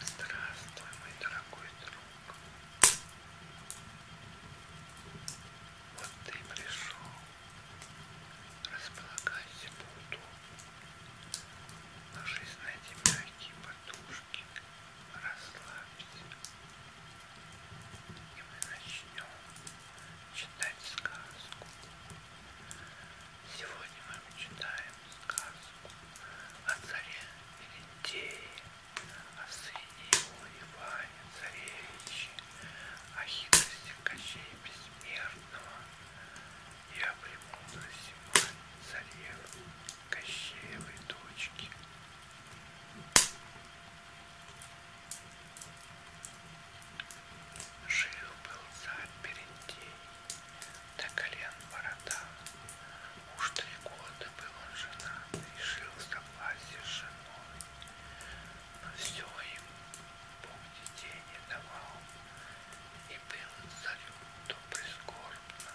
Здравствуй, мой дорогой друг. Вот ты пришел. Располагайся поудобнее. Ложись на эти мягкие подушки. Расслабься. И мы начнем читать сказку. Сегодня мы читаем сказку о царе Елентее, о сыне его Иване Царевиче, о хитрости Кощей Бессмертного и о премудрости царевы Кощеевой дочки. Жил-был царь Перентей, до колен борода. Уж три года был он женат, и жил в согласии с женой. Но все им Бог детей не давал, и было царю то прискорбно.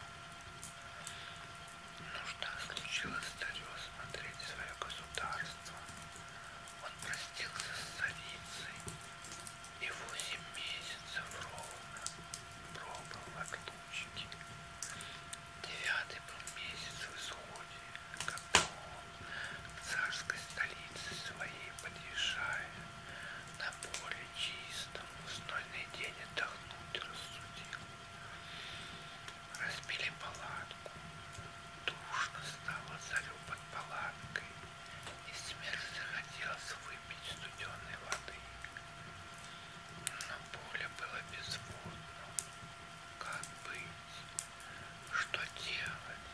Нужда случилась царю смотреть свое государство. Он простился с царицей, и восемь месяцев ровно пробыл в отлучке. Девятый был месяц в исходе, когда он в царской столице своей подъезжая на поле чистом в знойный день отдохнуть рассудил. Разбили палатку, душно стало царю под палаткой, и смерть захотелось выйти выпить студеной воды. Но поле было безводно. Как быть? Что делать?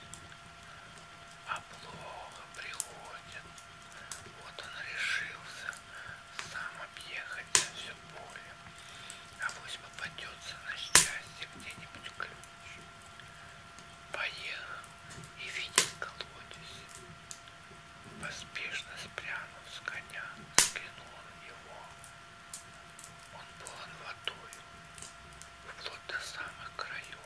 А плохо приходит. Вот он решился сам объехать на все поле. А пусть попадется на счастье где-нибудь ключ. Поехал и, видя колодец, поспешно спрянул с коня, взглянул на него. Он полон водою, вплоть до самых краев,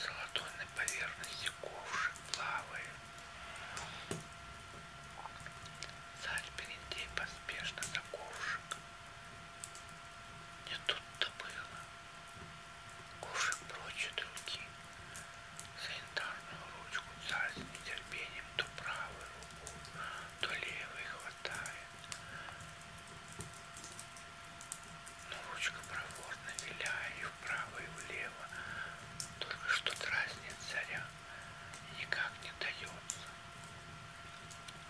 золотой на поверхности ковши плавает. Царь перед ней поспешно за ковшик. Не тут-то было. Кушай прочь от руки санитарную ручку, царь с нетерпением то правую руку, то левой хватает. Но ручка проворно виляет и вправо, и влево, только что дразнит царя и никак не дается.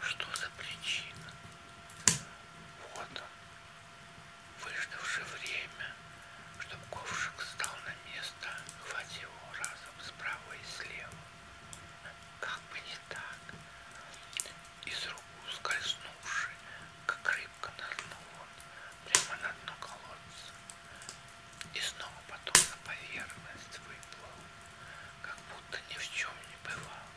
Что за причина? Вот он, Выждавши время, чтобы ковшик встал на место, хвати его разом справа и слева. Как бы не так. Из рук ускользнувши, как рыбка нырнул он прямо на дно колодца. И снова потом на поверхность выплыл, как будто ни в чем не бывало.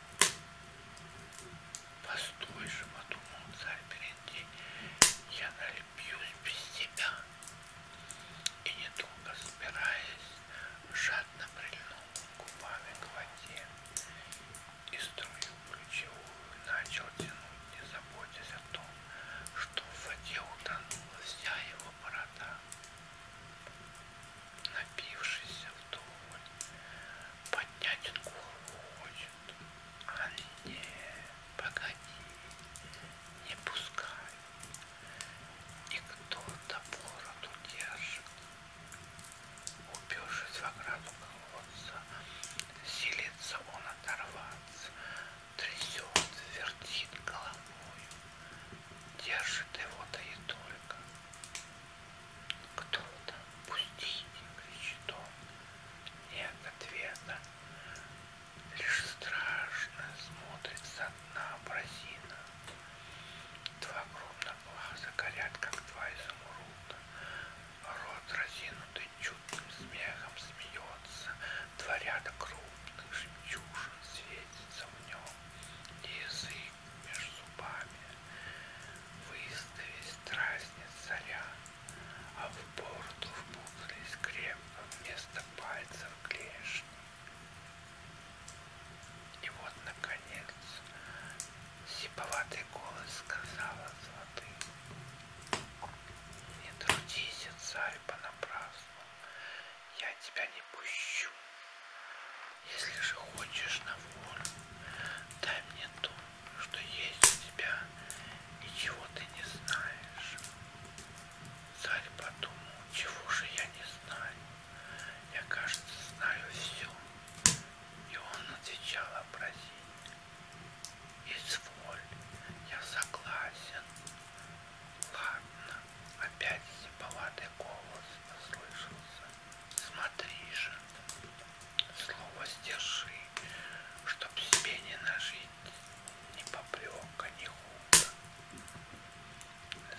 Постой же, подумал царь Берендей, я налюбьюсь без тебя. И недолго собираясь, жадно прильнул губами к воде и струю ключевую начал тянуть, не заботясь о том, что в воде утонула вся его борода. Напившийся вдоволь, поднять голову очень а не, погоди, не пускай. И кто-то бороду держит. Убившись в ограду колодца, силится он оторваться, трясет, вертит головой, держит его да и только. Кто там? Пустите, кричит он. Нет ответа. Лишь страшно смотрит со дна бразина. Два огромных глаза горят, как два изумруда. Рот разинутый чудным смехом смеется. Два ряда крупных жемчужин светится в нем. Язык между зубами выставить страстниц царя, а в бороду впутались крепко вместо пальцев клешни. И вот, наконец, сиповатый голос сказала золотым, «Не трудись, царь, понапрасну, я тебя не пущу. Если же хочешь на волю, дай мне то, что есть у тебя, ничего ты не знаешь. Царь подумал, чего же я не знаю, я, кажется, знаю все. И он отвечал образить. Изволь, я согласен. Ладно, опять сиповатый голос послышался. Смотри же, слово сдержи, чтоб себе не нажить ни попрека, ни худа.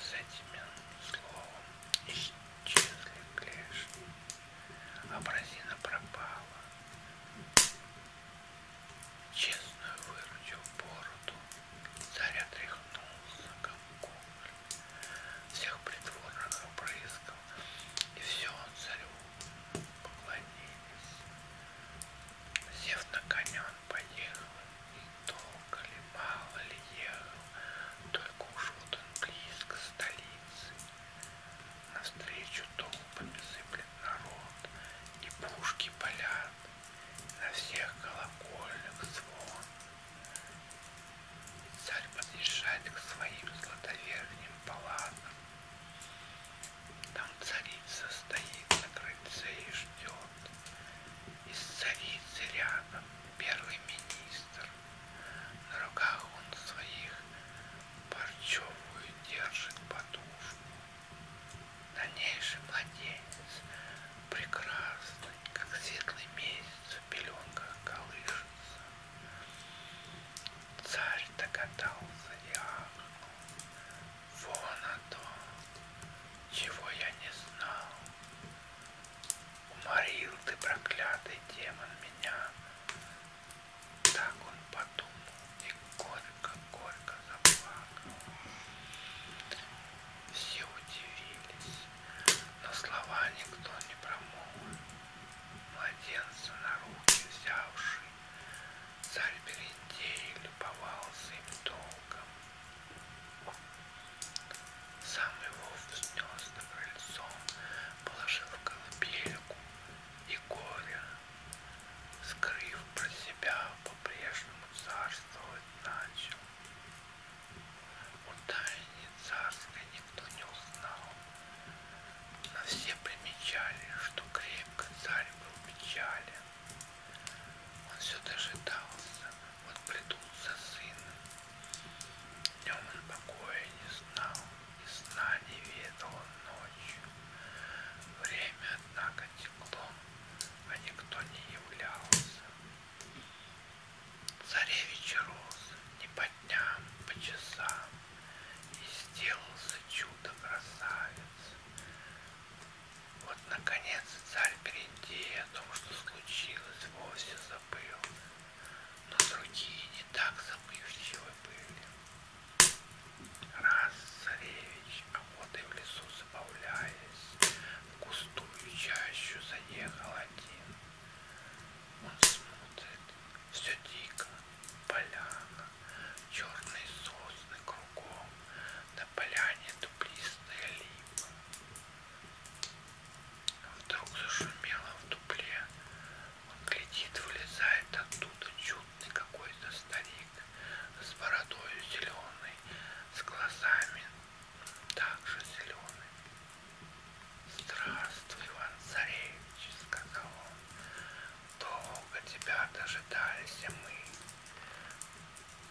С этим словом исчезли клешни, образина пропала. Честную выручил бороду, царь отряхнулся, как кухоль всех притворных обрызгов, и все он царю поклонились. Сев на коня он поехал, и долго ли, мало ли ехал, только уж вот он близко столицы. Навстречу толпами сыплет народ, и пушки палят, на всех колокольных звон. Царь подъезжает к своим златоверхним палатам. Там царица стоит на крыльце и ждет. Из царицы рядом первый министр. На руках он своих парчевую держит подушку. Дальнейший младенец прекрасный, как светлый месяц в пеленках колышется. Царь догадался Иоанну. Вон о том, чего я не знал. Уморил ты, проклятый демон, меня. Так он подумал и горько-горько заплакал. Все удивились, но слова никто не промолвил младенца на руки взявший, царь Берендей любовался им долго. Сам его взнес на крыльцо, положил в колыбельку и горе, скрыв про себя, по-прежнему царствовать начал. Утайне царствия никто не узнал. Но все примечали, что крепко царь был печален. Он все дожидался, вот придут за сыном. Днем он покоя не знал, и сна не ведал он ночью. Время, однако, текло, а никто не являлся. Царевич рос, непонятно дням, по часам, и сделался чудо-красавец. Вот, наконец, царь перед идеей о том, что случилось, вовсе забыл, но другие не так забывчивы были. Раз царевич, охотой а в лесу забавляясь, в густую чащу заехал один. Он смотрит, все дико, поляна, черные сосны кругом, на поляне дуплистая липа. Вдруг зашумело в дупле, он глядит, вылезает оттуда чудный какой-то старик с бородой зеленой, с глазами также зелеными. Здравствуй, Иван Царевич, сказал он. Долго тебя дожидались мы.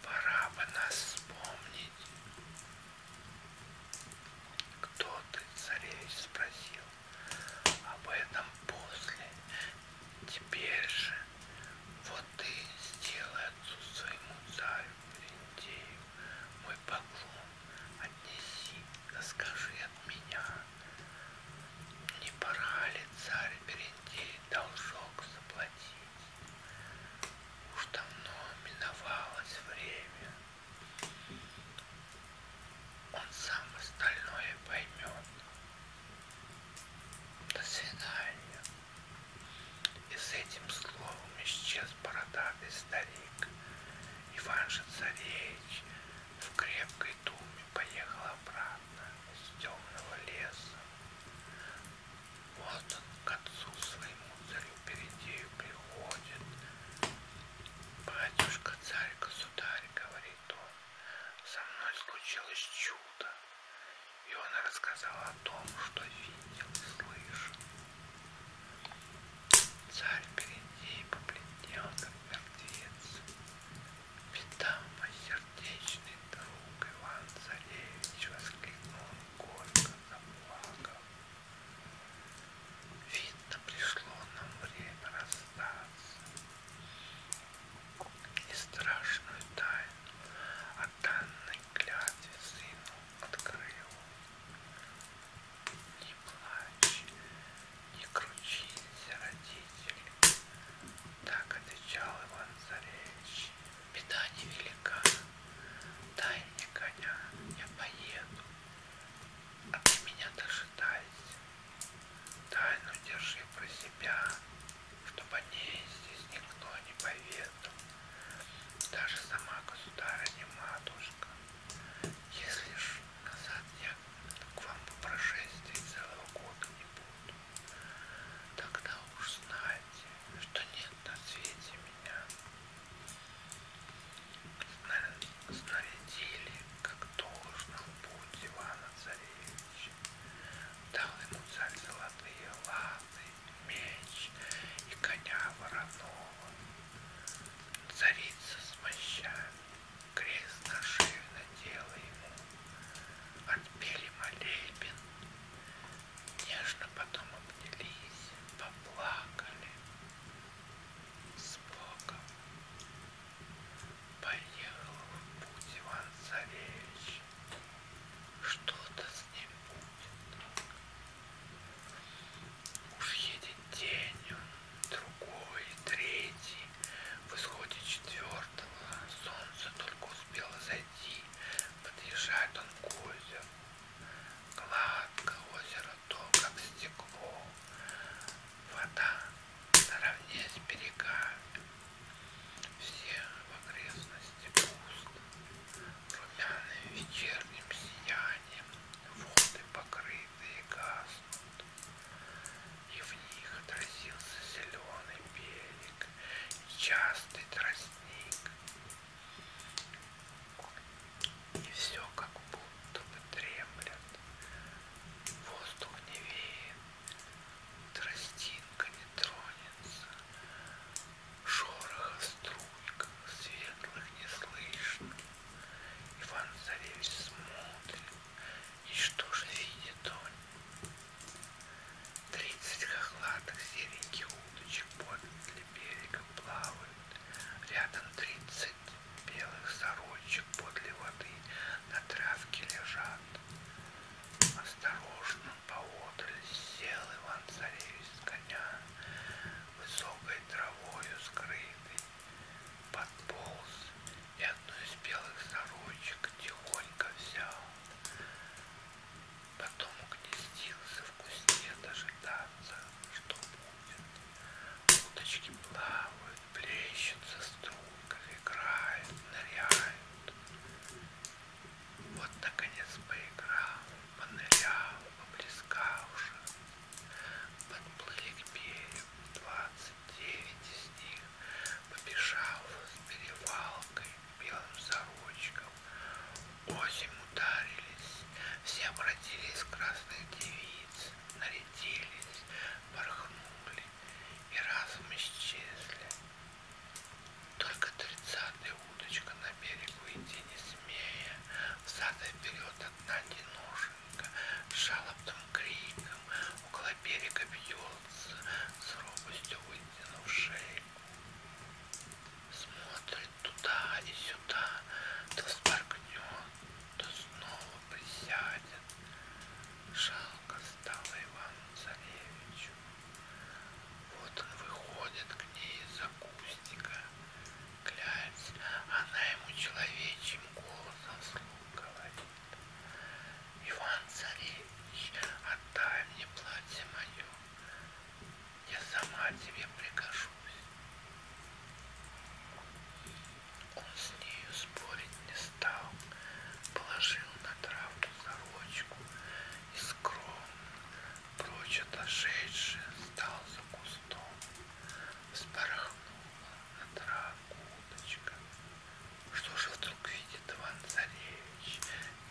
Пора бы нас вспомнить. Кто ты, царевич, спросил. Об этом после. Теперь же вот ты сделай отцу своему царю Берентею мой поклон отнеси, да скажи от меня. Не пора ли царь Берендей должок заплатить? Уж давно миновалось время. Он сам остальное поймет. До свидания. И с этим словом исчез бородатый старик, Иван Шанцаревич в крепкой думе поехал обратно с темного леса. Вот он к отцу своему царю Передею приходит. Батюшка, царь, государь, говорит он, со мной случилось чудо. И он рассказал о том, что видел и слышал. Царь впереди побледненных мертвец, Видама сердечный друг Иван Царевич воскликнул горько заплакал. Видно, пришло нам время расстаться. И страшную тайну о данной клятве сыну открыл. Не плачь, не кручись, родитель, так отвечал Иван Царевич. Беда невелика, дай мне коня, я поеду, а ты меня дожидайся. Тайну держи про себя, чтобы о ней здесь никто не поведал, даже сама государыня-матушка. Если ж назад я к вам по прошествии целого года не буду. Тогда уж знайте, что нет на свете меня. Снарядили, как должно путь Ивана Царевича. Дал ему царь золотые латы, меч и коня вороного. Царица смоща, крест нашив надела ему, Отпели молебен, нежно потом обнялись, поплакали с Богом. Поехал в путь Иван Царевич, что-то с ним будет. Уж едет день, другой, третий, в исходе четвертого солнце только успело зайти, подъезжает он к озеру. Гладко озеро то, как стекло, вода наравне с берегами. Все в окрестности пусто, румяным вечерним сиянием воды покрыты цветы гаснут, и в них отразился зеленый берег и частый тростник. И все как будто бы дремлет, воздух не веет, тростинка не тронется, шороха струйка светлых не слышно. Иван Царевич смотрит. И что же видит он? Тридцать хохлатых сереньких удочек подле берега плавают. Рядом тридцать белых сорочек подле воды на травке лежат. Осторожно поодаль сел Иван Царевич с коня, высокой травою скрытый подполз и одну из белых сорочек тихонько взял. Потом угнездился в кусте дожидаться, что будет. Уточки плавают, плещутся струйкой, играют, ныряют. Вот, наконец, поиграл, понырял, поплескал уже подплыли к берегу. Двадцать девять из них побежал с перевалкой белым сорочком. Осень ударились, все обратились в красных девиц, нарядились, порхнули и разом исчезли. Только тридцатая удочка на берегу идти не смея, взад и вперед одна тянушка девушка с жалобным криком около берега бьется, с робостью вытянув шею. Смотрит туда и сюда, то споргнет, то снова присядет. Жалко стало Ивану Царевичу. Вот он выходит к ней из-за кустика клясть, она ему человечьим голосом слух говорит. Иван Царевич, отдай мне платье мое, я сама тебе прикажусь. Он с нею спорить не стал, положил на травку сорочку и скромно, прочь отошедший, стал за кустом хвостом вспорхнула на травку уточка. Что же вдруг видит Иван Царевич?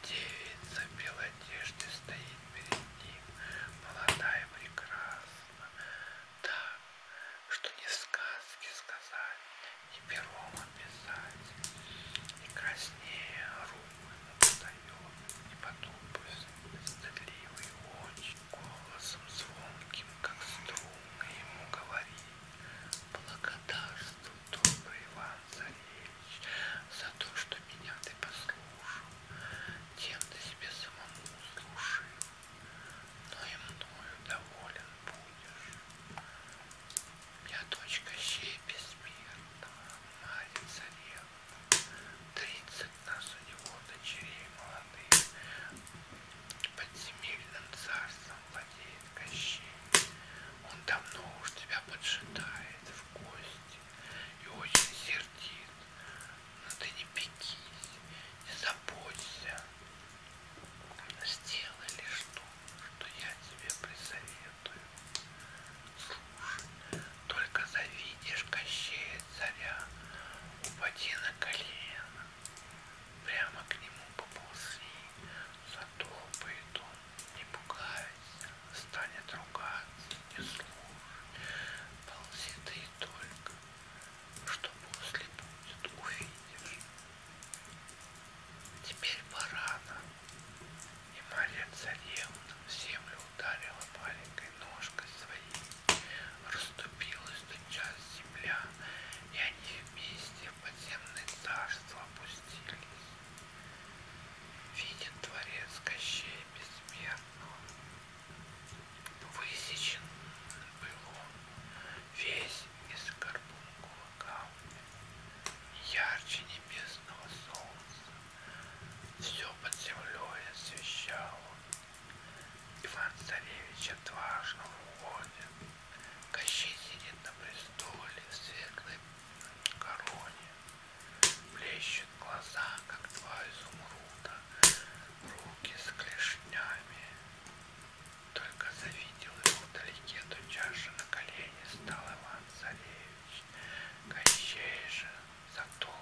Девица в белой одежде стоит перед ним, молодая прекрасна, так, что ни сказки сказать, ни пером описать, и краснее руку надает, и потупы стыдливые очи. И голосом звонким, как струны, ему говори, Благодарствуй, добрый Иван Царевич, За то, что меня ты послушал, Тем ты себе самому служил, Но и мною доволен будешь. Я дочка щей бессмертного, Марья Царевна, Тридцать нас у него дочерей молодых. Подземельным царством владеет Кощей. Он давно уж тебя поджидает в гости и очень сердит. Но ты не пекись, не заботься. Сделай лишь то, что я тебе присоветую. Слушай, только завидишь Кощея царя, воде на колено, прямо к нему поползли, затопает он, не пугайся, станет ругаться, не слушай, ползи ты и только, что после будет, увидишь. Теперь пора нам. И Мария Царевна в землю ударила маленькой ножкой своей, Раступилась тотчас земля, и они вместе в подземное царство опустились. Виден творец Кощей бессмертного. Высечен был он весь из карбункова камня, ярче небесного солнца. Все под землей освещал он Иван Царевич отважно уходит. Кощей сидит на престоле в светлой короне. Блещут глаза, как два изумруда, руки с клешнями. Только завидел его вдалеке, то чаша на колени стал Иван Царевич. Кощей же зато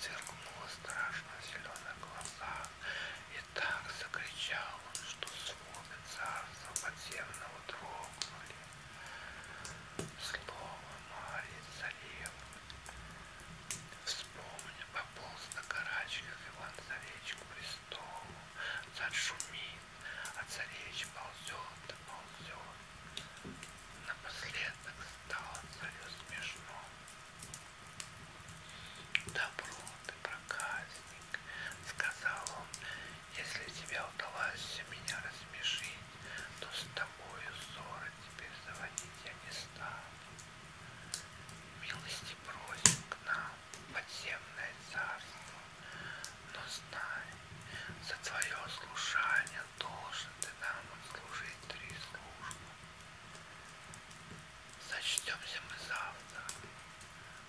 сверкнуло страшно в зеленых глазах, и так закричал он, что своды царства подземного трогнули. Слово Марии царевны. Вспомни, пополз на карачках Иван Царевич к престолу. Царь шумит, а царевич ползет да ползет. Напоследок стало царю смешно. Добро ты, проказник, сказал он, если тебе удалось меня рассмешить, то с тобою ссоры теперь заводить я не стану. Милости просим к нам, подземное царство, но знай, за твое слушание должен ты нам отслужить три службы. Сочтемся мы завтра.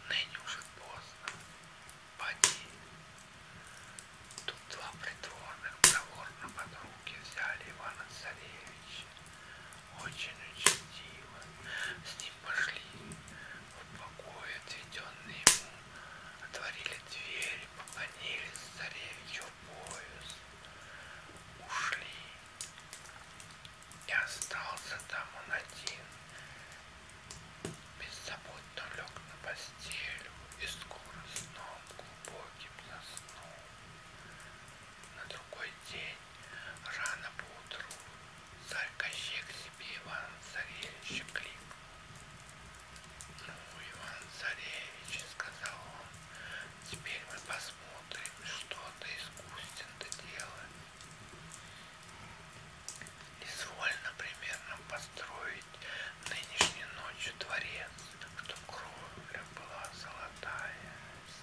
Ныне уже поздно. Поди. Тут два придворных проворно под руки взяли Ивана Царевича. Очень учтиво. С ним пошли в покой, отведенный ему. Отворили двери, поклонились царевичу в пояс. Ушли. И остался там он один. Беззаботно лег на постель и скоро сном глубоким заснул. На другой день, рано поутру, царь Кощек себе Иван Царевича кликнул. Ну, Иван Царевич, сказал он, Теперь мы посмотрим, что ты искусен ты делаешь. Извольно примерно построить нынешней ночью дворец, чтоб кровля была золотая,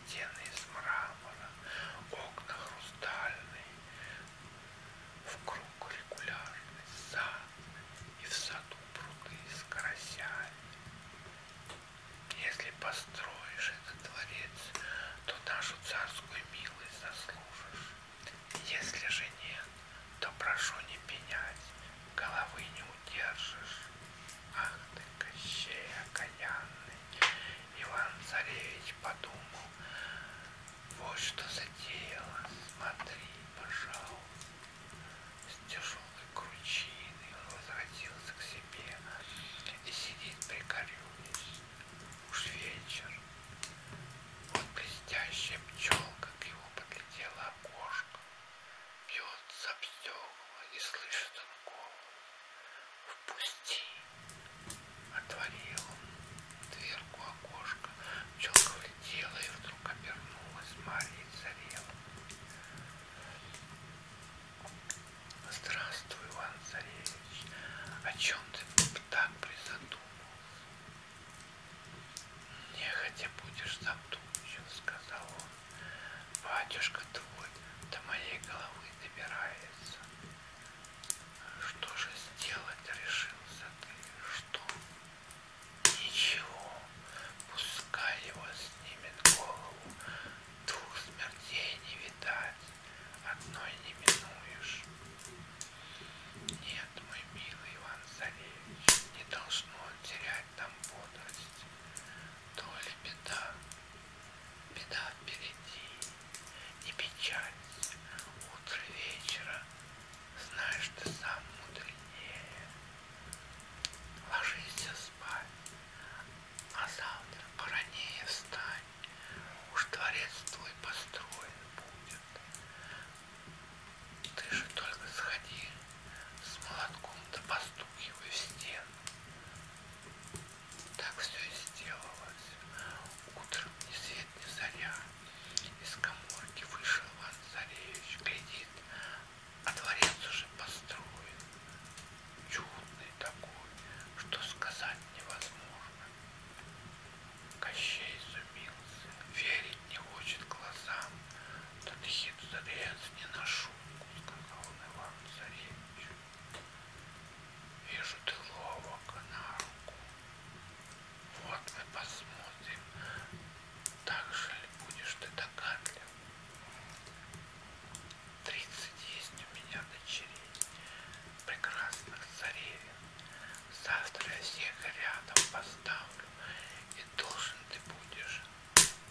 стены из мрамора, окна хрустальные, в круг регулярный сад и в саду пруды с карасями. Если построишь этот дворец, то нашу царскую милость заслужишь. Если же нет, то прошу не пенять, головы не удержишь. Ах ты, Кощей окаянный! Иван-царевич подумал, вот что затеяло, смотри, пожалуй с тяжелой кручиной возвратился к себе и сидит прикорюсь. Уж вечер. Вот блестящая пчелка к его подлетела окошко, бьется об стекла и слышит он голос. Впусти! Отворил он дверку окошка, пчелка влетела и вдруг обернулась Марьей Царевной. Здравствуй, Иван Царевич. О чем ты так призадумался? Нехотя будешь задумчив, сказал он. Батюшка твой до моей головы добирается. Что же сделать решился ты? Что? Ничего. Пускай его снимет голову, двух смертей не видать, одной не минуешь. Нет, мой милый Иван Царевич, не должно терять там бодрость. То ли беда, беда впереди, не печать, утро вечера, знаешь, ты сам мудренее. Ложись спать, а завтра поранее встань, уж дворец твой построен будет. Ты же только сходи с молотком да постукивай в стену. Так все и сделалось. Утром ни свет, ни заря. Из коморки вышел Иван Царевич, глядит, а дворец уже построен, чудный такой, что сказать невозможно. Кощей изумился, верить не хочет глазам, да ты хитрец не на шутку, сказал он Иван Царевичу. Вижу ты ловок на руку. Вот мы посмотрим, так же ли будешь ты догадлив тридцать есть у меня дочерей, прекрасных царевин. Завтра я всех рядом поставлю, и должен ты будешь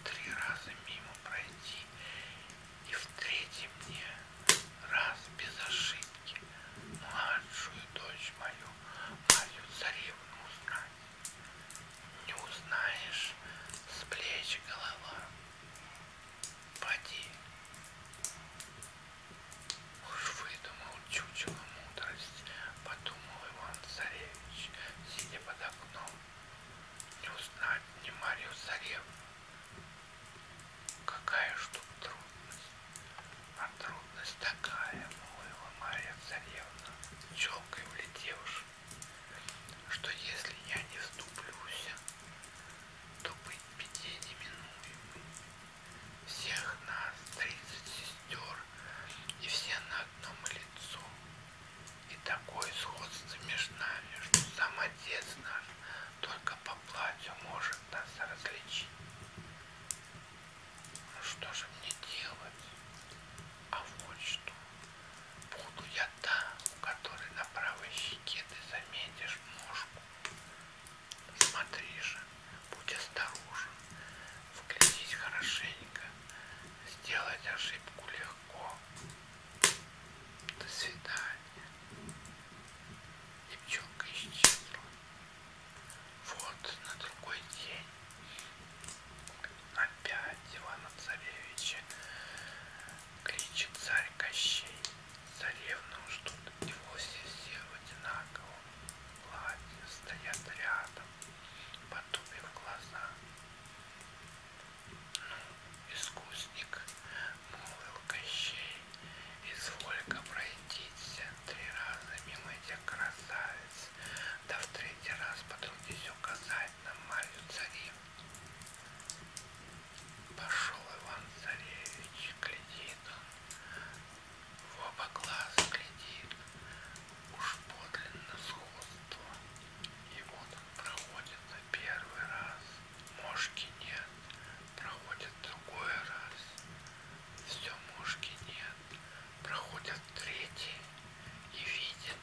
три раза мимо пройти, и в третьем мне раз без ошибки младшую дочь мою, мою царевну узнать. Не узнаешь с плеч голова. Поди. Уж выдумал чучело мудрость, подумал Иван Царевич, сидя под окном. Не узнать не Марию Царевну. Какая ж тут трудность? А трудность такая, молвила Мария Царевна, челкой влетевшая что если я не вступлюсь, то быть беде неминуемой. Всех нас тридцать сестер, и все на одном лицо. И такое сходство между нами, что сам отец наш только по платью может нас различить. Ну что же мне делать? А вот что. Буду я та, у которой на правой щеке ты заметишь ножку. Смотри же, будь осторожен, вглядись хорошенько, сделать ошибку легко. До свидания. И пчелка исчезла. Вот на другой день опять Ивана Царевича кричит царь Кощей. Царевну ждут, и вовсе все в одинаковом платье стоят рядом, потупив глаза. Ну, искусник, молвил Кощей, изволь-ка пройдиться три раза мимо этих красавиц, да в третий раз потрудись указать на Марью Царевну. Пошел Иван Царевич, глядит он, в оба глаза глядит, уж подлинно сходство. И вот он проходит на первый раз, мошки нет, проходит другой раз, все мошки нет, проходит третий и видит,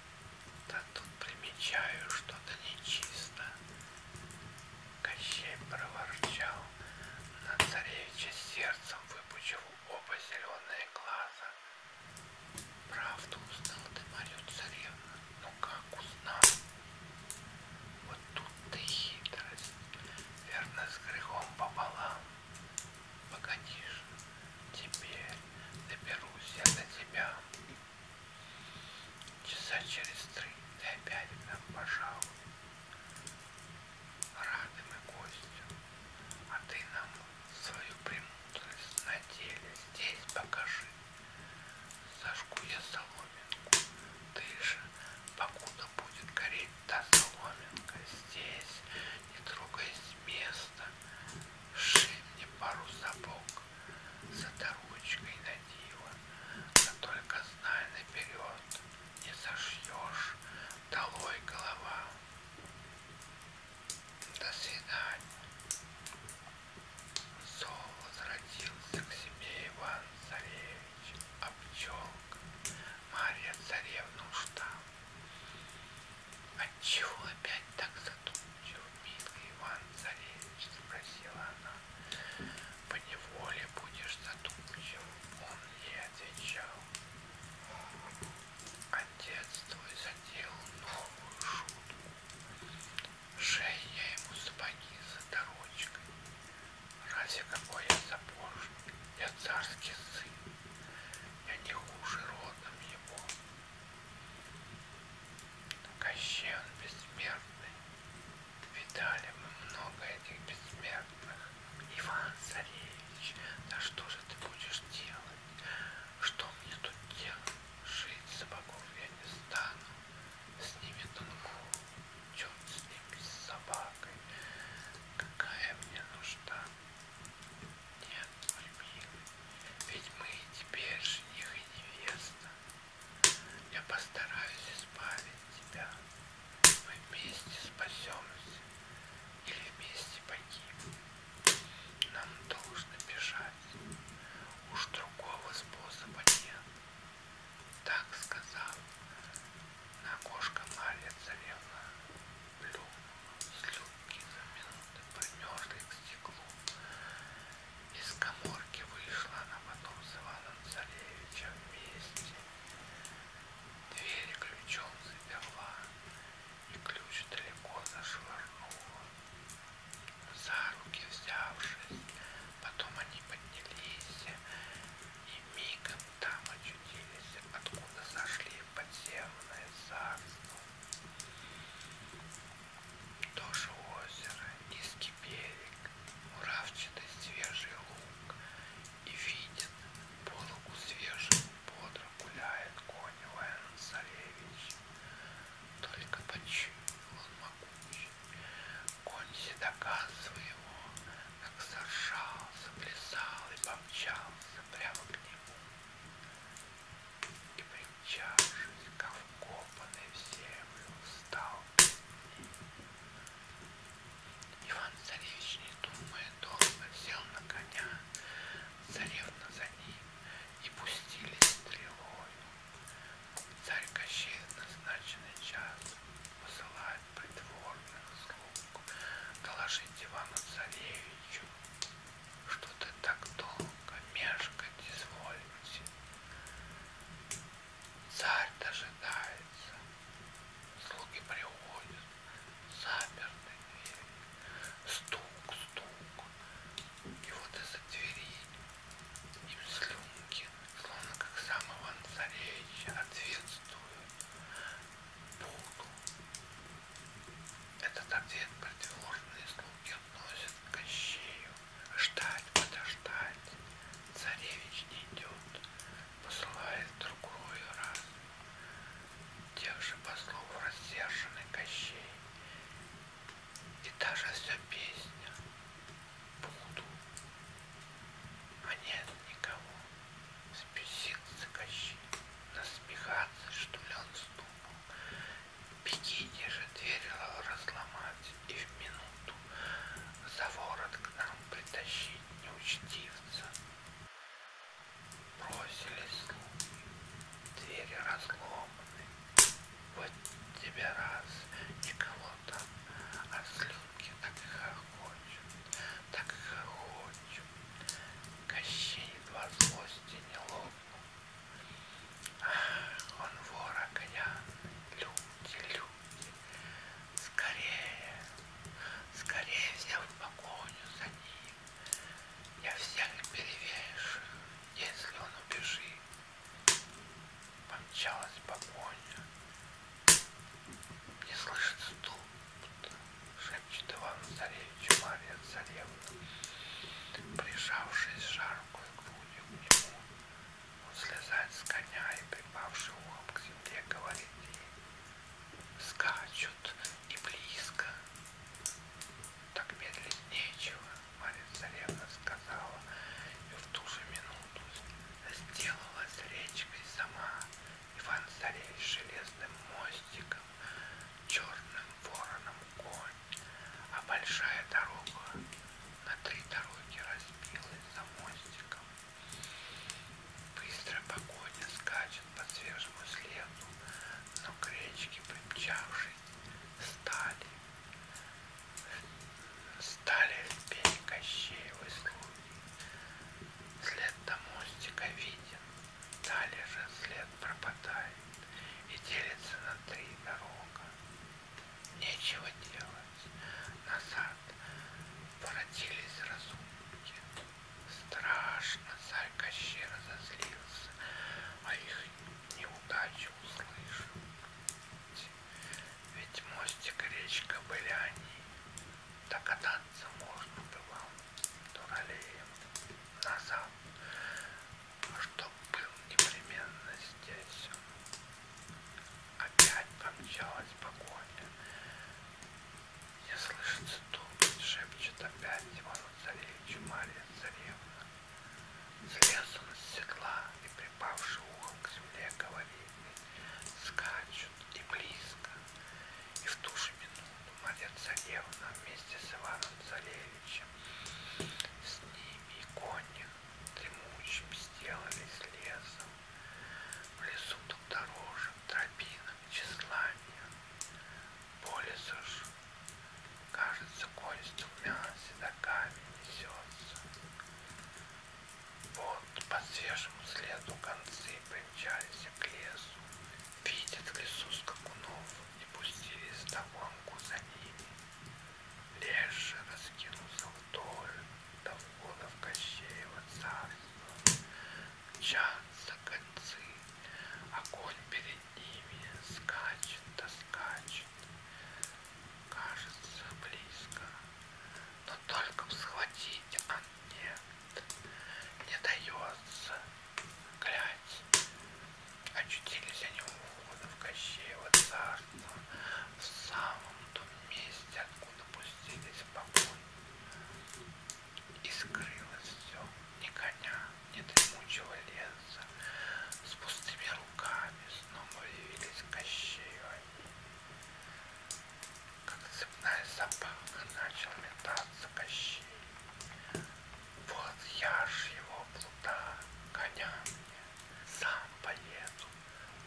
да тут примечаю что-то нечисто. Кощей проворчал на царевича сердцем, выпучив оба зеленые глаза. Правду узнал ты, мою царевну, ну но как узнал? Вот тут ты хитрость, верно, с грехом пополам. Погодишь, Теперь доберусь я до тебя. Часа через три ты опять к нам пожалуй. Рады мы гостю, а ты нам свою премудрость на теле здесь покажи. Сожгу я соломинку, ты же, покуда будет гореть та соломинка, здесь не трогаясь места, Шей мне пару сапог за доручкой на диво, но только знай наперед, не зашьешь долой голова. До свидания. Сол возвратился к себе Иван Царевич, а пчелка Марья Царевна уж там. Отчего опять так задумчив, милый Иван Царевич? Спросила она. По неволе будешь задумчив, он ей отвечал. Отец твой заделал новую шутку. Шей я ему сапоги за дорочкой. Разве какой я сапожник? Я царский сын. Я не хуже родом его. Кощей он бессмертный. Видали мы много этих бессмертных. Иван Царевич, да что же ты будешь делать? Что мне тут делать? Жить за богов я не стану. С ними тонку, черт с ними, с собакой. Какая мне нужда? Нет, Альбина, ведь мы теперь жених и невеста. Я постараюсь избавить тебя. Мы вместе спасемся или вместе погибнем. Нам должно бежать. Уж другого способа нет. Так сказал. На окошко Марья Царевна плюнула слюну долгие две минуты, примерзли к стеклу. Из коморки вышла она потом с Иваном Царевичем вместе. Двери ключом заперла, и ключ далеко зашвырнула. За руки взявшись, потом они поднялись и мигом там очутились, откуда зашли и подземное царство. Тоже озеро, низкий берег, муравчатый свежий луг, и виден пологу свежему бодро гуляет конь Лэн Царевич. Только почуял он могучий, конь седока своего, как заржал, заплясал и помчался прямо к нему. И при чаши, как вкопанный в землю встал. Иван Царевич, не думая долго, сел на коня, царевна за ним, и пустили стрелою. Царь Кощей в назначенный час посылает придворных слуг доложить Ивану Царевичу что ты так долго мешкать изволите. Царь дожидается, слуги приходят, заперты двери, стук, стук, и вот из-за двери им слюнки, словно как сам Иван Царевич, ответствуют. Буду, этот ответ противоположные слуги относят к Кощею. Ждать, подождать. Царевич не идет, посылает другую раз. Тех же послов рассерженный Кощей. И та же вся песня. Буду. А нет никого. Спесится Кощей. Насмехаться, что ли, он ступал. Пикетти же дверила разломать и в минуту за ворот к нам притащить неучтивца. Бросили слуги, двери разломаны. Вот тебе раз, никого там, а слюнки так и хохочут, так и хохочут. Кощей два злости не лопнет. Он вора коня. Люди, люди. Скорее. Скорее взяв погоню за ним. Я всех перевешу, если он убежит. Помчалась погоня. Не слышит ступ, шепчет Иван Царевич. Юмария царевна, прижавшись жаркую грудью к нему, он слезает с коня и, припавший ухом к земле, говорит ей, скачут и близко. Так медлить нечего, Мария царевна сказала, и в ту же минуту сделалась речкой сама. Иван Царевич железным мостиком, черным вороном конь, а большая дорога на три дороги разбилась за мостиком. Быстрая погоня скачет по свежему следу, но к речке примчавшись стали. Стали в пень Кощеевой слуги. След до мостика виден, Далее же след пропадает и делится на три дорога. Нечего делать. Назад породились разумки. Страшно царь Кощей разозлился, а их неудачу услышал. Ведь мостик и речка были они. Докататься можно было дуралеем назад чтоб был непременно здесь. Опять помчалась погоня. Не слышится тупость, шепчет опять Иван Царевич Мария Царевна. Слез он с седла и, припавши ухом к земле, говорит, скачут и близко. И в ту же минуту Мария Царевна вместе с Иваном Царевичем Андреевичем. С ними и кони дремучим сделались лесом. В лесу тут дорожек, тропинок, числанием. По лесу ж, кажется, конь с двумя седоками несется. Вот по свежему следу концы примчались к лесу. Видят в лесу скакунов и пустились вдогонку за ними. Лес же раскинулся вдоль до входа в Кощеево царство. Мчатся концы, огонь перед ними скачет да скачет. Кажется близко, но только схватить он а нет, не дается глядь, очутились они у входа в Кощеево царство, ну, в самом том месте, откуда пустились в покой. И скрылось все, ни коня, ни дремучего леса, с пустыми руками снова явились Кощеева. Как цепная собака начал метаться Кощей. Вот я ж его плута коня мне. Сам поеду.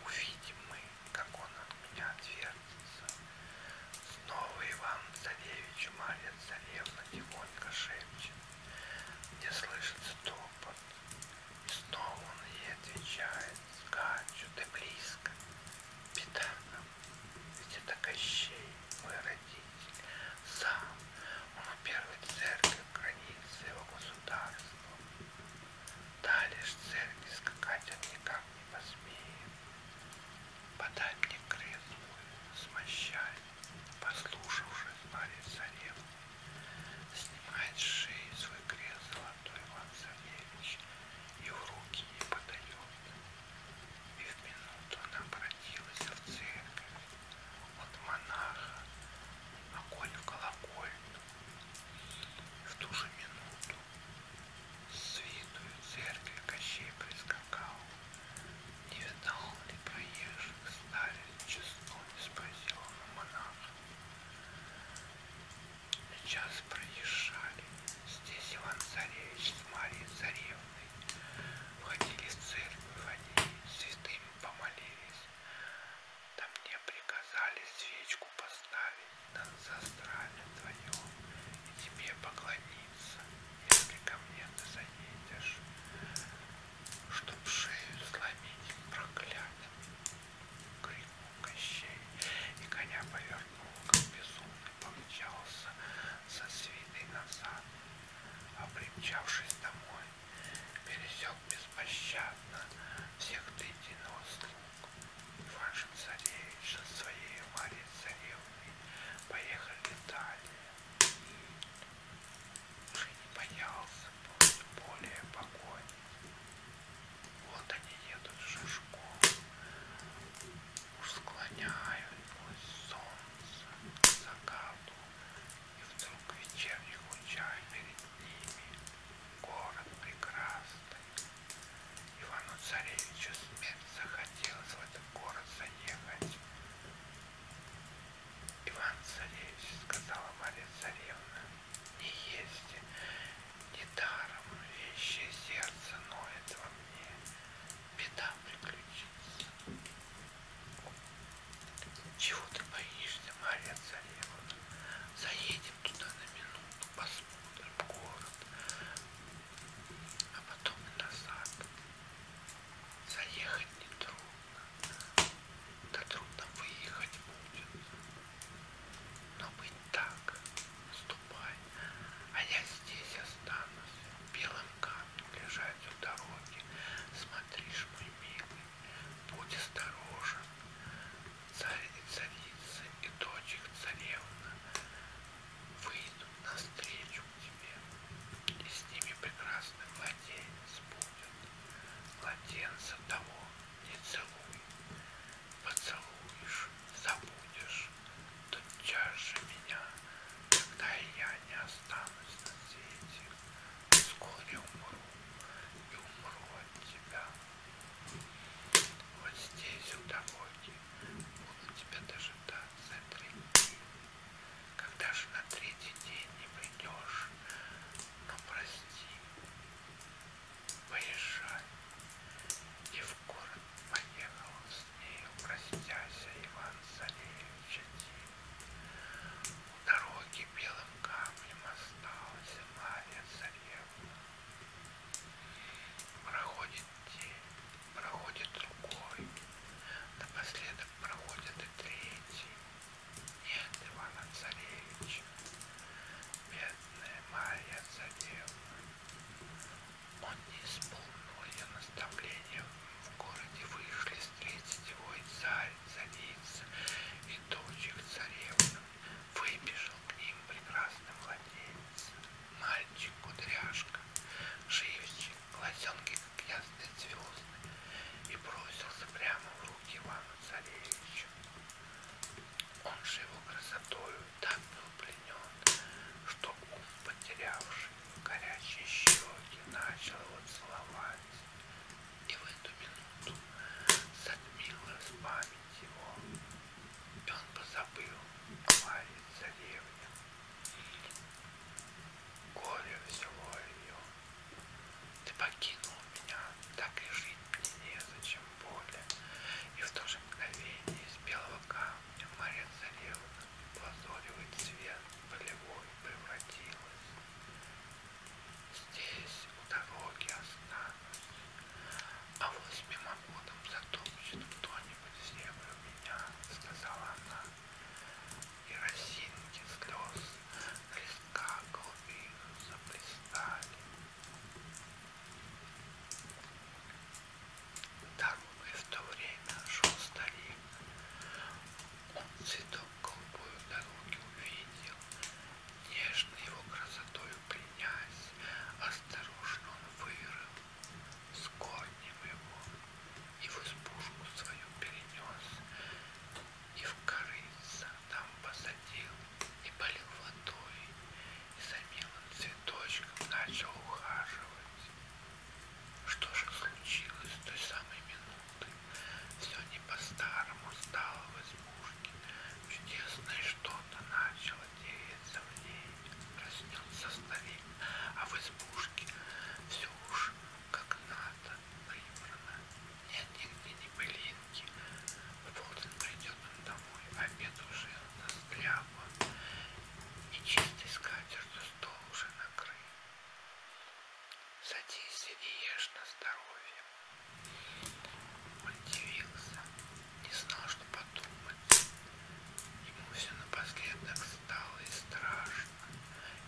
Увидим мы, как он от меня отвертится. Снова Иван Царевич и Марья Царевна тихонько шепчет. Мне слышится топот. И снова он ей отвечает. Скачу, ты близко. Беда нам, ведь это Кощей, мой родитель сам. Он первый церковь, границы его государства. Далее ж церкви скакать он никак не посмеет. Подай мне крест смощай, послушавшись Марии Царевны, снимает с шеи свой крест золотой Иван Савельевич и в руки не подает. И в минуту она обратилась в церковь, от монаха огонь в колокольню. И в ту же минуту с виду церкви Кощей прискакал. Не видал ли проезжих старец часто не спросил он у монаха. Сейчас проезжали здесь Иван Царевич с Марией Царевной. Входили в церковь, они святым помолились. Да мне приказали свечку поставить над застрале твоем и тебе поклониться, если ко мне ты заедешь, чтоб шею сломить проклятым. Крикнул Кощей, и коня повернул, как безумный помчался со свиной назад а примчавшись домой, пересек беспощадно всех до единого слуг. Ивашин Царевич со своей Марией Царевной поехали в Италию. Уже не боялся более погони. Вот они едут шишком, уж склоняют солнце к закату. И вдруг вечерний хучай перед ними, город прекрасный. Ивану-царевичу смерть захотелось в этот город заехать. Иван-царевич, сказала Мария-царевна, не есть, не даром вещи сердце ноет во мне, беда приключится. Чего ты боишься, Мария Царевна? Заедем туда на минуту, посмотрим город, а потом и назад. Заехать нетрудно, да трудно выехать будет. Но быть так, ступай, а я здесь останусь, белым камни лежать у дороги. Смотришь, мой милый, будь осторожен. Царь и царица и дочь их царевна выйдут навстречу к тебе, и с ними прекрасный младенец будет. Младенца того не целуй, поцелуешь, забудешь, тотчас же меня, когда я не останусь на свете, вскоре умру и умру от тебя. Вот здесь, у дороги, буду тебя дожидаться три дня. Когда же на третий день не придешь, но ну, прости, поезжай. И в город поехал с ней, простяся, Иван Царевич один. У дороги белым камнем осталась Марья Царевна. Проходит день, проходит другой, напоследок проходит и третий. Нет Ивана Царевича, бедная Марья Царевна. Он не исполнил ее наставления в городе вышли встретить его и царь, царица и дочь их царевна. Выбежал к ним прекрасный младенец, мальчик кудряшка, живчик, глазенки, как ясные звезды, и бросился прямо в руки Ивана Царевича. Он же его красотою так был пленен, что ум потерявший, горячие щеки, начал его целовать. И в эту минуту затмила в память его, и он позабыл о Марии Царевне. Горе взяло ее. Ты покинул меня, так и жить мне незачем более. И в то же мгновение из белого камня Мария Царевна лазоревый цвет полевой превратилась. Здесь у дороги останусь, а вот мимо годом затопчет кто-нибудь землю меня, сказала она. И росинки слез на листка глубину заплестали. Так и в то время шел старик. Он цветок голубой дороги увидел, нежно его красотою пленясь, осторожно он вырыл с корнем его и в избушку свою перенес, и в корыца там посадил, и полил водой, и за милым цветочком начал ухаживать. Что же случилось с той самой минуты? Все не по-старому стало в избушке. Чудесное что-то начало деяться в ней. Проснется старик, а в избушке все уж как надо прибрано. Нет нигде ни пылинки. В полдень придет он домой, обед уже застрял. И чистой скатертью стол уже накрыт. Садись и ешь на здоровье. Он дивился, не знал, что подумать. Ему все напоследок стало и страшно,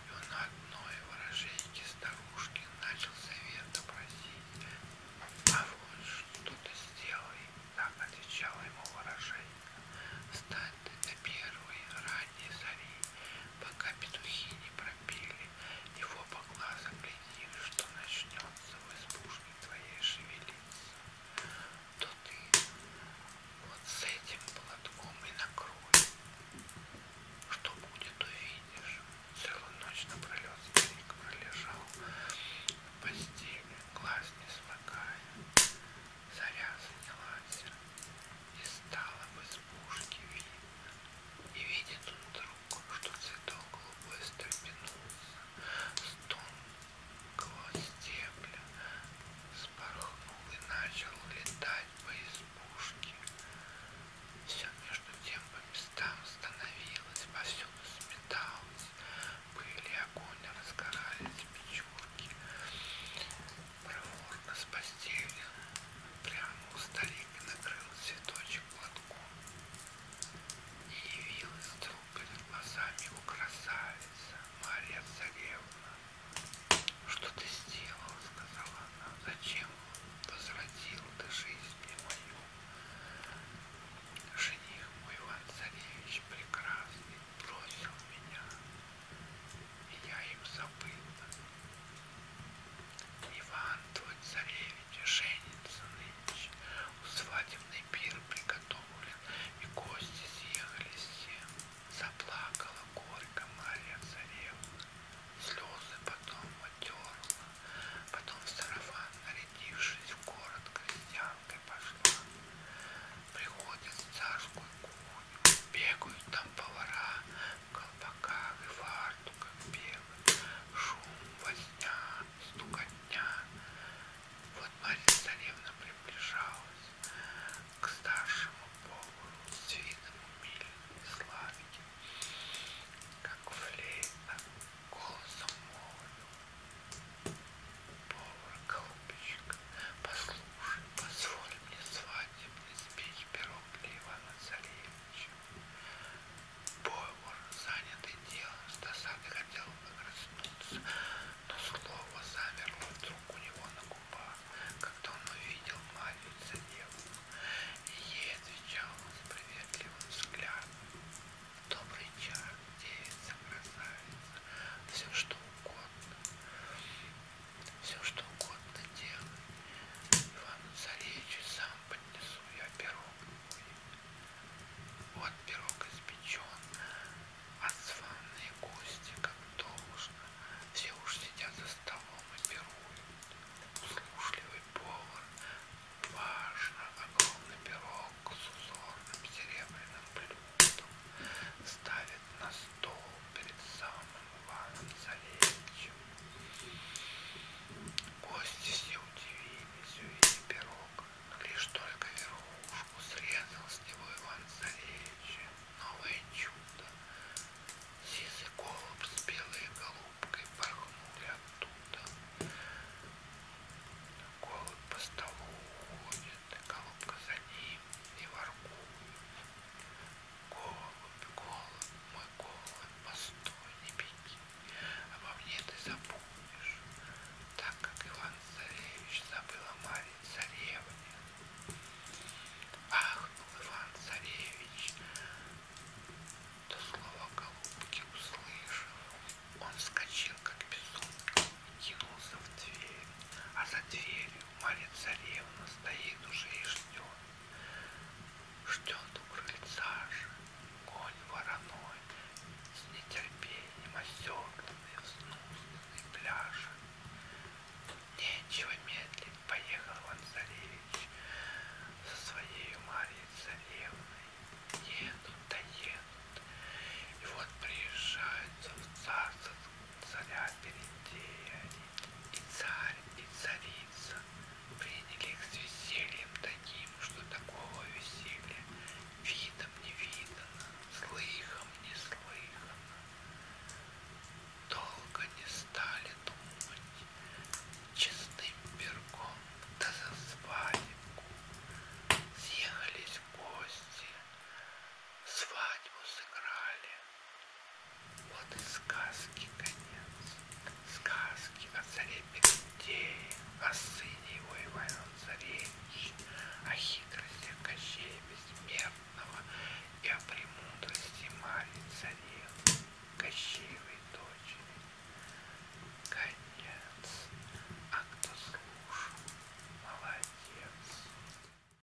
и он на одной выраженьке старушки начал совета просить. А вот что-то сделай, так отвечала ему выраженька. Стань до первой ранней зари, пока петухи не пропели, его по глазам глядели, что начнется в избушке твоей шевелиться, то ты вот с этим платком и накрой. Что будет, увидишь. Целую ночь напролет старик пролежал в постели, глаз не смыкая. Заря занялась, и стало в избушке видно. И видит он вдруг, что цветок голубой стрепенулся, с тонкого стебля спорхнул и начал летать по избушке. Все между тем по местам становилось, повсюду сметалось, пыли огонь разгорались печурки проворно с постели, прямо у старика накрыл цветочек платком. И явилась вдруг перед глазами его красавица, Мария Царевна. Что ты сделала, сказала она, зачем возвратил ты жизнь мне мою? Жених мой Иван Царевич прекрасный, бросил меня, и я им забыла. Иван, твой царевич, женится нынче, у свадебный пир приготовлен, и гости съехались все. Заплакала горько Марья царевна, слезы потом отерла, потом в сарафан, нарядившись в город, крестьянкой пошла приходят в царскую кухню, бегают там повара в колпаках и фартуках белых, шум, возня, стукотня. Вот Мария Царевна приближалась к старшему повару с видом умильной славики, как флейта голосом молвил повар голубчик, послушай, позволь мне свадебный спеть пирог для Ивана Царевича. Повар, занятый делом, с досады хотел огрызнуться, но слово замерло вдруг у него на губах, когда он увидел Марию Царевну, и ей отвечал он с приветливым взглядом. Добрый час, девица, красавица, все что угодно все что угодно делай. Ивану Царевичу сам поднесу я пирог мой. Вот пирог испечен, а званые гости, как должно, все уж сидят за столом и пируют. Услушливый повар, важно, огромный пирог с узорным серебряным блюдом ставит на стол перед самым Иваном Царевичем. Гости все удивились, увидели пирог, но лишь только верхушку срезал с него Иван Царевич. Новое чудо. Сизый голубь с белой голубкой порхнули оттуда. Голубь по столу уходит, Голубка за ним и воркует. Голубь, голубь, мой голубь, постой, не беги. Обо мне ты забудешь, так как Иван Царевич забыл о Марии Царевне. Ах, был Иван Царевич, то слово голубки услышал. Он вскочил, как безумный, кинулся в дверь, а за дверью Марья царевна стоит уже и ждет. Ждет у крыльца же конь вороной, С нетерпением оседланный взнузданный пляж. Нечего медлить поехал Иван Царевич со своей Марьей царевной. Едут да едут, и вот приезжают в царство царя Берендея и царь, и царица приняли их с весельем таким, что такого веселья видом не видано, слыхом не слыхано. Долго не стали думать, честным пергом да за свадьбу. Съехались гости, свадьбу сыграли, вот и сказки конец. Сказки о царе Петей, о сыне его Ивана Царевич, о хитрости Кощея Бессмертного и о премудрости Марии Царевны, Кощеевой дочери. Конец. А кто слушал, молодец.